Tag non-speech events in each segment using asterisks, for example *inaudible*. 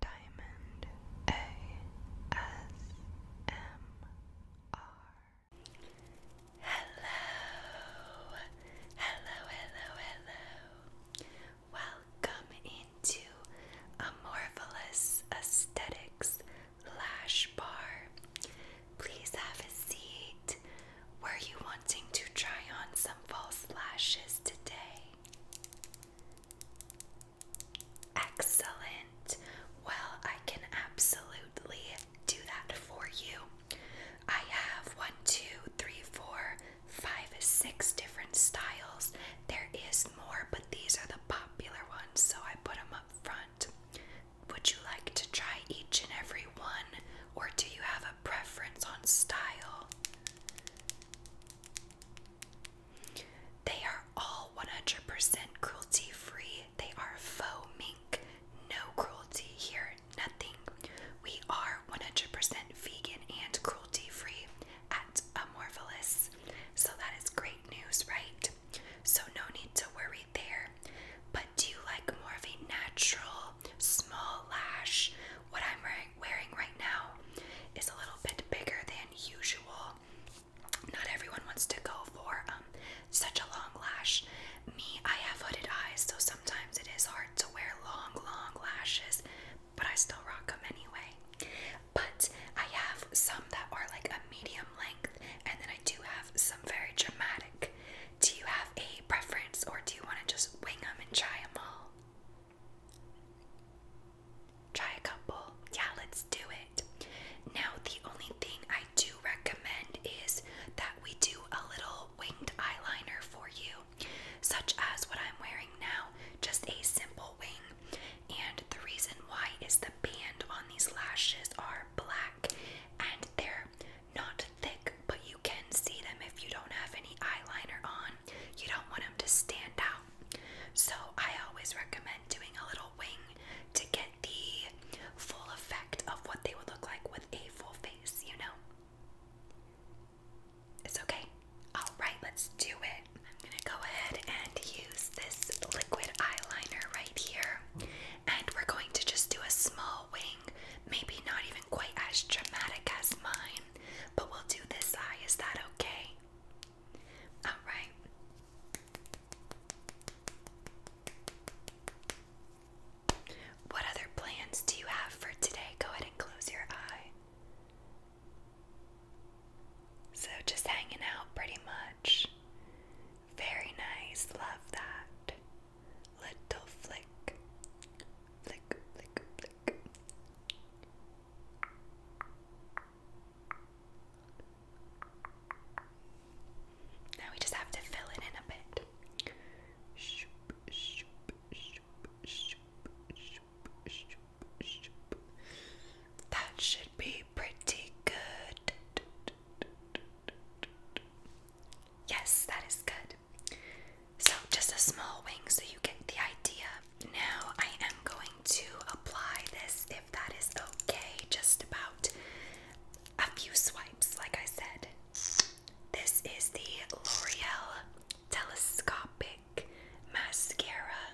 Diamond ASMR. Hello, hello, hello, hello. Welcome into Amorphous Aesthetics Lash Bar. Please have a seat. Were you wanting to try on some false lashes today? Excellent. Well, I can absolutely do that for you. I have one, two, three, four, five, six different styles. There is more, but these are the popular ones, so I put them up front. Would you like to try each and every one, or do you have a preference on style? They are all 100% cruelty free. They are faux mink. No cruelty here, nothing. We are 100% vegan and cruelty free at Amorphilus. So that is great news, right? So no need to worry there. But do you like more of a natural small lash? What I'm wearing wearing, right now is a little bit bigger than usual. Not everyone wants to go for um, such a long lash. Me, I have hooded eyes, so sometimes it is hard to wear long, long lashes, but I still rock them anyway. But I have some that are like a medium length, and then I do have some very dramatic. Do you have a preference, or do you want to just wing them and try them all? Try a couple. Yeah, let's do it. Now, the only thing I do recommend is that we do a little winged eyeliner for you, such as what I'm wearing now, just a simple wing. And the reason why is the band on these lashes are black and they're not thick, but you can see them if you don't have any eyeliner on. You don't want them to stand out. So I always recommend doing a little wing to get the full effect of what they would look like with a full face, you know? It's okay. Alright, let's do it. I'm gonna go ahead and use this liquid eyeliner right here. And we're going to just do a small wing, maybe not even quite as dramatic as mine, but we'll do this eye, is that okay? Alright. What other plans do you have for today? Go ahead and close your eye. So, just hanging out pretty much. Very nice, love that. Little flick. Flick, flick, flick. Now we just have to fill it in a bit. That should be pretty good. Yes, that is good. So, just a small wing so you get the idea. Now, I am going to apply this, if that is okay, just about a few swipes, like I said. This is the L'Oreal Telescopic Mascara.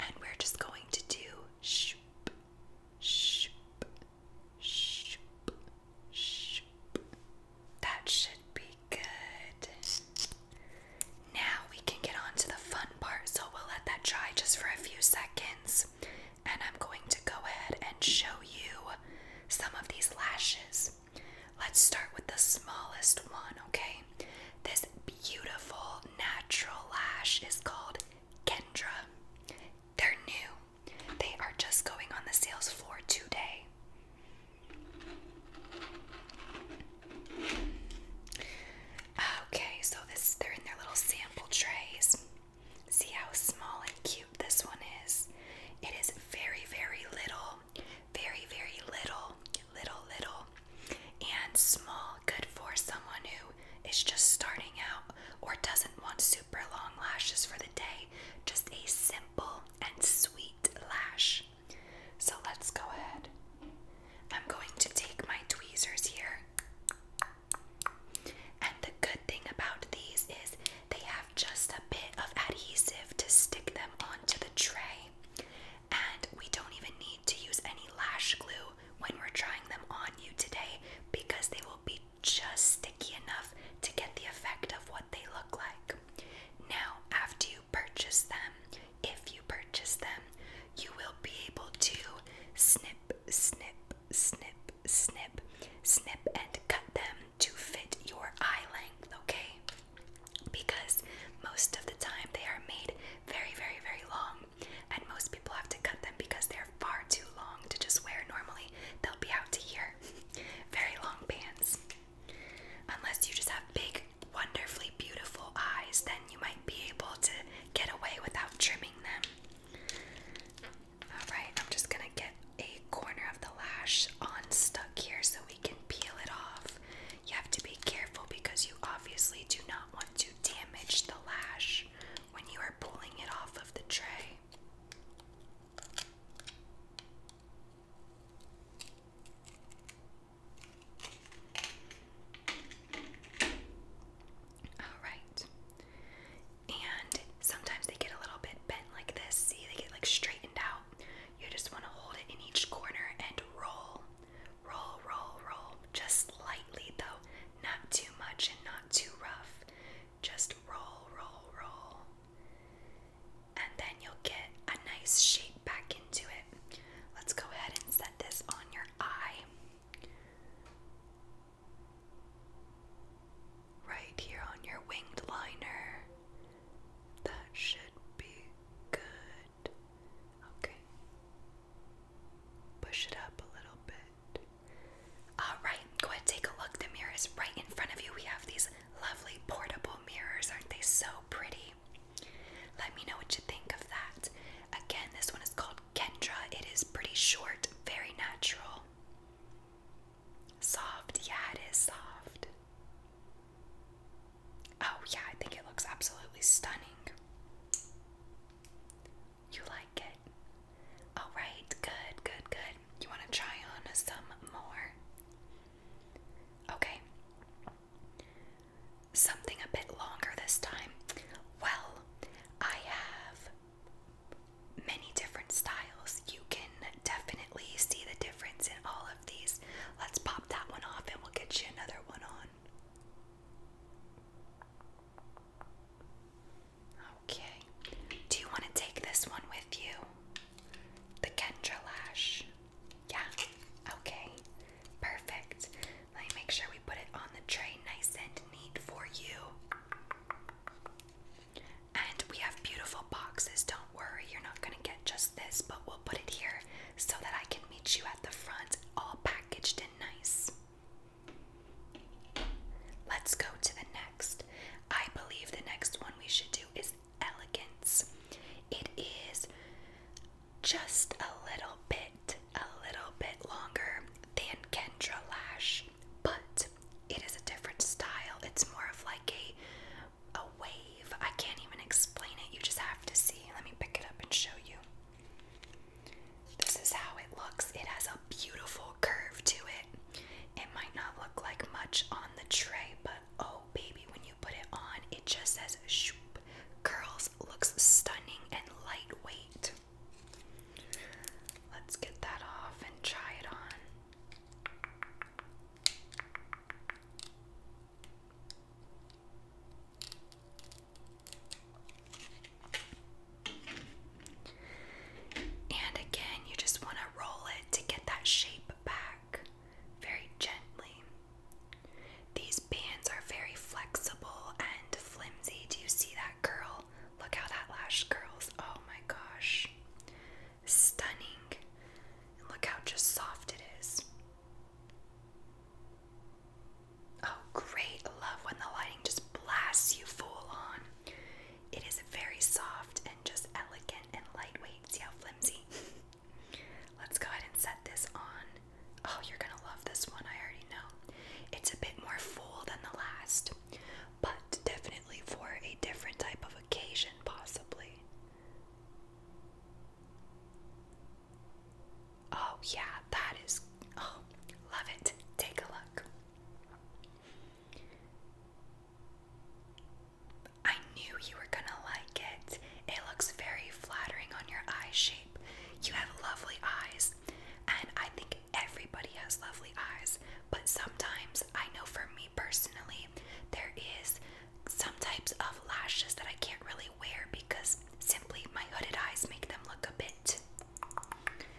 And we're just going to do shoop, shoop, shoop, shoop, that should be good. Now we can get on to the fun part, so we'll let that dry just for a few seconds. And I'm going to go ahead and show you some of these lashes. Let's start with the smallest one, okay? This beautiful natural lash is called Kendra. They're new, they are just going on the sales floor today. Okay, so this they're in their little sample trays. See how small and cute this one is? It is very, very little, very, very little, little, little, and small. Good for someone who is just starting out or doesn't want super long lashes for the day. Just a simple, and Sweet Lash. So let's go ahead. I'm going to take my tweezers here. And the good thing about these is they have just a bit of adhesive to stick them onto the tray. And we don't even need to use any lash glue when we're trying them on you today because they will be just sticky enough to get the effect of what they look like. Now, after you purchase them, if you purchase them, you will be able to snip, snip, snip, snip, snip, and cut them to fit your eye length, okay? Because most of the time they are made very, very, very long, and most people have to cut them because they're far too long to just wear normally. They'll be out to here. *laughs* Very long pants. Unless you just have big, wonderfully beautiful eyes, then you might be able to get away without trimming them. Alright, I'm just gonna get a corner of the lash unstuck here so we can peel it off. You have to be careful because you obviously do not want to damage the lash when you are pulling it off of the tray. All right. And sometimes they get a little bit bent like this. See, they get like straightened out. You just want to hold it in each corner and roll. Roll, roll, roll. Just lightly though. Not too much and not too rough. Just roll, roll, roll and then you'll get a nice shape back into it. Let's go ahead and set this on your eye. Right here on your winged liner. That should be good. Okay. Push it up a little bit. Alright, go ahead, take a look. The mirror is right in front of you. We have these Lovely portable mirrors, aren't they so pretty? Let me know what you think of that. Again, this one is called Kendra. It is pretty short, very natural. Soft, yeah, it is soft. Oh, yeah, I think it looks absolutely stunning. You like it? Alright, good, good, good. You want to try on some more? Okay. Something a bit longer this time. Well, I have many different styles. You can definitely see the difference in all of these. Let's pop that one off and we'll get you another one on. Okay. Do you want to take this one with you? The Kendra lash. Yeah. Okay. Perfect. Let me make sure we put it on the tray nice and neat for you. And we have beautiful boxes. Don't worry, you're not going to get just this, but we'll put it here so that I can meet you at the front, all packaged and nice. Let's go to the I believe the next one we should do is elegance. It is just a little bit, a little bit longer than Kendra Lash, but it is a different style. It's more of like a a wave. I can't even explain it. You just have to see. Let me pick it up and show you. This is how it looks. It has a beautiful curve to it. It might not look like much on the tray, but oh baby, when you put it on, it just says shoop. Curls looks stunning and lightweight. Let's get that off and try it on. And again, you just want to roll it to get that shape back very gently. These bands are very flexible and flimsy. Do you see that curl? Look how that lash curls. Oh my gosh. Stunning. look how just soft it is. Oh, great. Love when the lighting just blasts you full on. It is very soft and just elegant and lightweight. See how flimsy? *laughs* Let's go ahead and set this on. Oh, you're gonna love this one, I already know. It's a bit more full than the last, but definitely for a different type of occasion, possibly. Oh, yeah, that is. Oh, love it. Take a look. I knew you were gonna like it. It looks very flattering on your eye shape. You have lovely eyes, and I think everybody has lovely eyes, but sometimes I know for me personally, there is some types of lashes that I can't really wear because simply my hooded eyes make them look a bit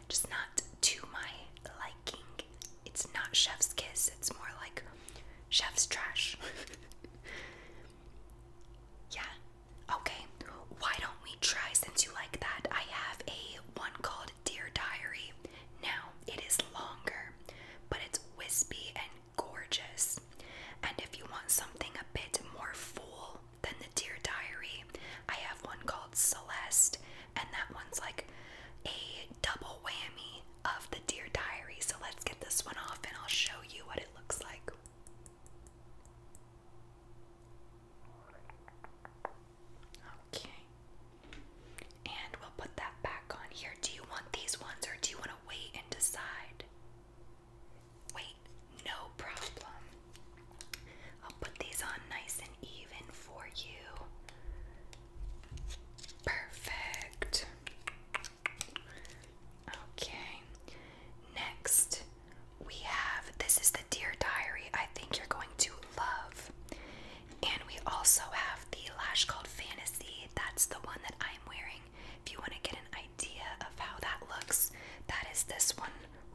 just not to my liking. It's not chef's kiss, it's more like chef's trash. *laughs* yeah. Okay. Why don't we try since you like that? I have a one called Dear Diary. Now, it is longer, but it's wispy and gorgeous. And if you want something a bit more full than the Dear Diary, I have one called Celeste and that one's like a double whammy of the Dear Diary. So let's get this one off and I'll show you what it looks like. Okay. And we'll put that back on here. Do you want these ones or do you want to wait and decide? Wait, no problem. I'll put these on nice even for you. Perfect. Okay. Next, we have this is the Dear Diary I think you're going to love. And we also have the lash called Fantasy. That's the one that I'm wearing. If you want to get an idea of how that looks, that is this one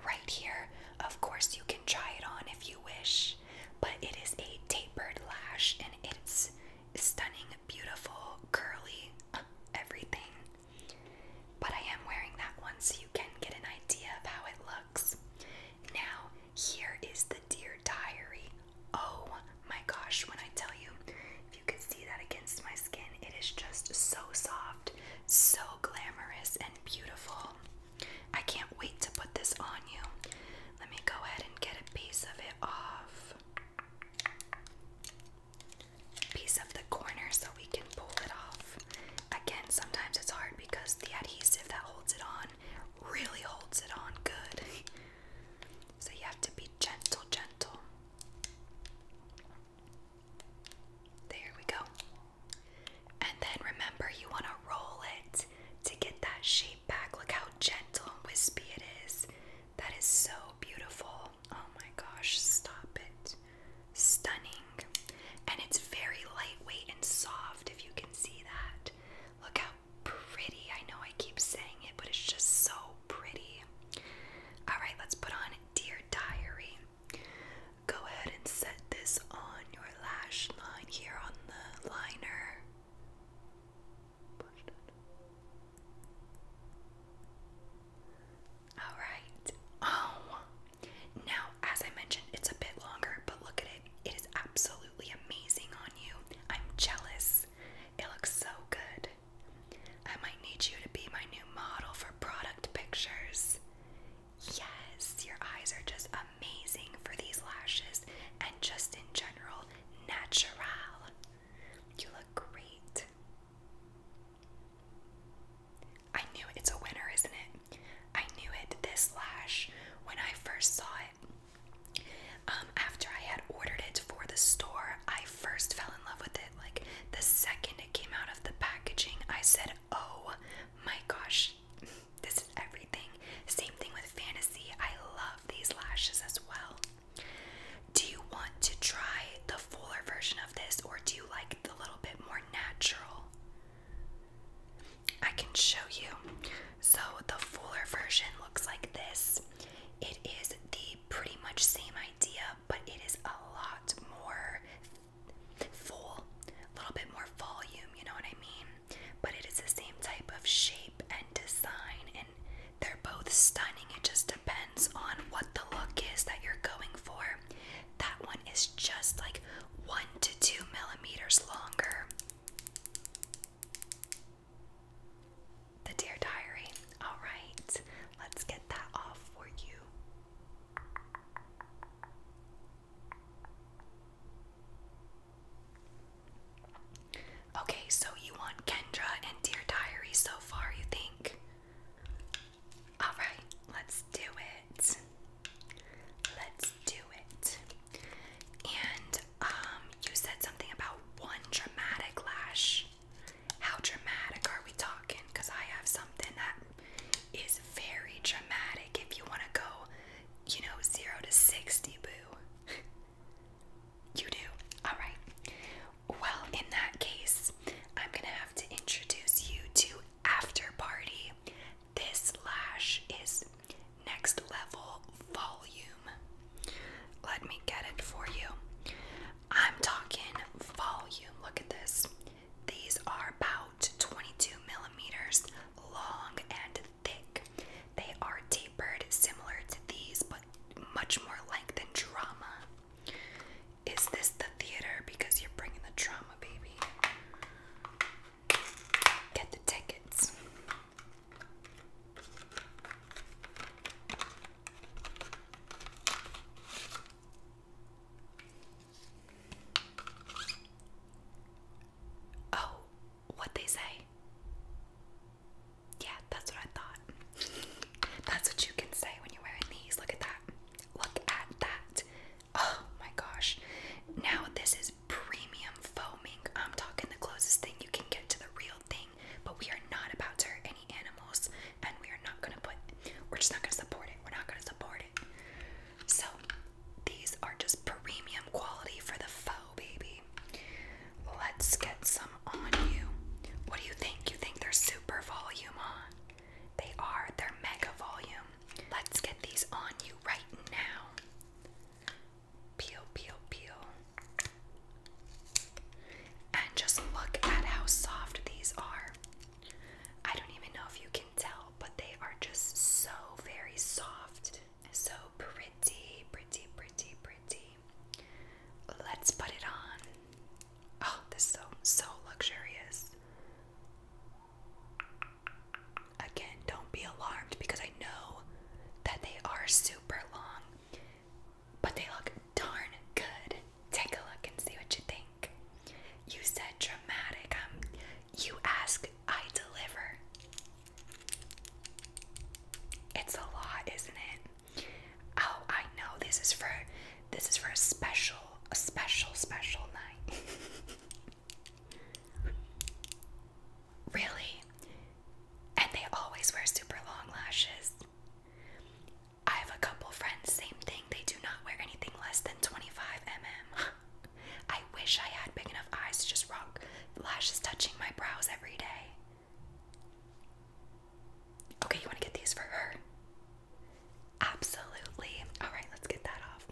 right here. Of course, you can try it on if you wish but it is a tapered lash and it's stunning, beautiful, curly, everything. But I am wearing that one so you can get an idea of how it looks. Now, here is the Dear Diary. Oh my gosh, when I tell you, if you can see that against my skin, it is just so soft, so glamorous, and beautiful. I can't wait to put this on you. Let me go ahead and get a piece of it off. Piece of the corner so we can pull it off. Again, sometimes it's hard because the adhesive that holds it on really holds it on good. so you have to be gentle, gentle. There we go. And then remember, you want to roll it to get that shape back. Look how gentle and wispy it is. That is so beautiful. Oh my gosh, stop it. Stunning. And it's very lightweight and soft, if you can see that. Look how pretty. I know I keep saying it, but it's just so pretty. All right, let's put on Dear Diary. Go ahead and set this on your lash line here on the liner. Alright. Oh. Now, as I mentioned, it's a bit longer, but look at it. It is absolutely amazing on you. I'm jealous. It looks so good. I might need you to be my new model for product pictures. Yes, your eyes are just amazing for these lashes and just in general, natural. You look great. I knew it's a winner, isn't it? I knew it this lash when I first saw it. Um, after I had ordered it for the store, I first fell in love with it. Like the second it came out of the packaging, I said, Oh my gosh, this is everything. Same thing with fantasy. I love these lashes as well. Do you want to try the fuller version of this or do you like the little bit more natural? I can show you. So the fuller version looks like this. It is the pretty much same idea, but it is a lot more full, a little bit more volume, you know what I mean? But it is the same type of shape and design, and they're both stunning. It just depends on what the look is that you're going for. That one is just like one to two millimeters longer. The Dear Diary. Alright, let's get that off for you. Okay, so you want Kendra and Dear Diary so far, you think? Alright, let's do it. Let's do it. And um you said something about one dramatic lash. How dramatic are we talking? Because I have something that is very dramatic if you want to go you know, zero to 60, boo. *laughs* you do. All right. Well, in that case, I'm going to have to introduce you to After Party. This lash is next level volume. Let me get it for you. I'm talking volume. Look at this. These are about. To 22 millimeters long and thick. They are tapered similar to these, but much more like and drama. Is this the theater? Because you're bringing the drama, baby. Get the tickets. Oh, what they say? Yeah, that's what I thought. *laughs* That's what you can say when you're wearing these. Look at that. Look at that. Oh my gosh. Now this is premium foaming. I'm talking the closest thing you can get to the real thing, but we are not about to hurt any animals and we are not going to put, we're just not going to support it. We're not going to support it. So these are just premium quality for the faux baby. Let's get some on you. What do you think? You think they're super volume on? They are. They're mega volume. Let's get these on you right now. Peel, peel, peel. And just look at how soft these are. I don't even know if you can tell, but they are just so very soft. So pretty, pretty, pretty, pretty. Let's put it on. Oh, this is so, so luxurious. Again, don't be alarmed because I know that they are super long, but they look darn good. Take a look and see what you think. You said dramatic. Um, you ask, I deliver. It's a lot, isn't it? Oh, I know. This is for this is for a special, a special, special night. *laughs* really? And they always wear super long lashes. I have a couple friends, same thing they do not wear anything less than 25mm. *laughs* I wish I had big enough eyes to just rock lashes touching my brows every day. Okay, you want to get these for her? Absolutely. Alright, let's get that off.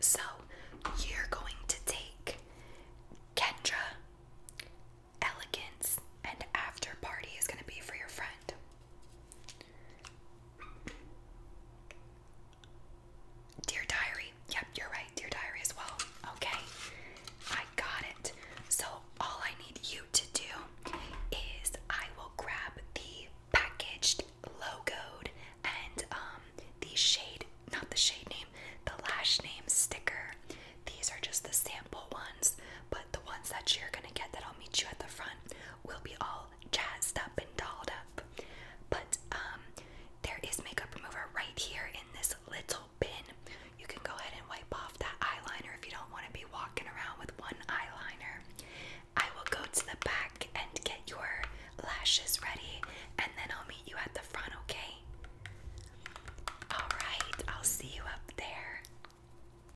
So, you're going to take Kendra, Elegance, and After Party is going to be for your friend. Dear Diary. Yep, you're right. Dear Diary as well. Okay. I got it. So, all I need you to do is I will grab the packaged, logoed, and um, the shade, not the shade name, the lash name sticker. These are just the sample ones, but the ones that you're going to get that I'll meet you at the front we will be all jazzed up and dolled up. But um, there is makeup remover right here in this little bin. You can go ahead and wipe off that eyeliner if you don't want to be walking around with one eyeliner. I will go to the back and get your lashes ready, and then I'll meet you at the front, okay? Alright, I'll see you up there.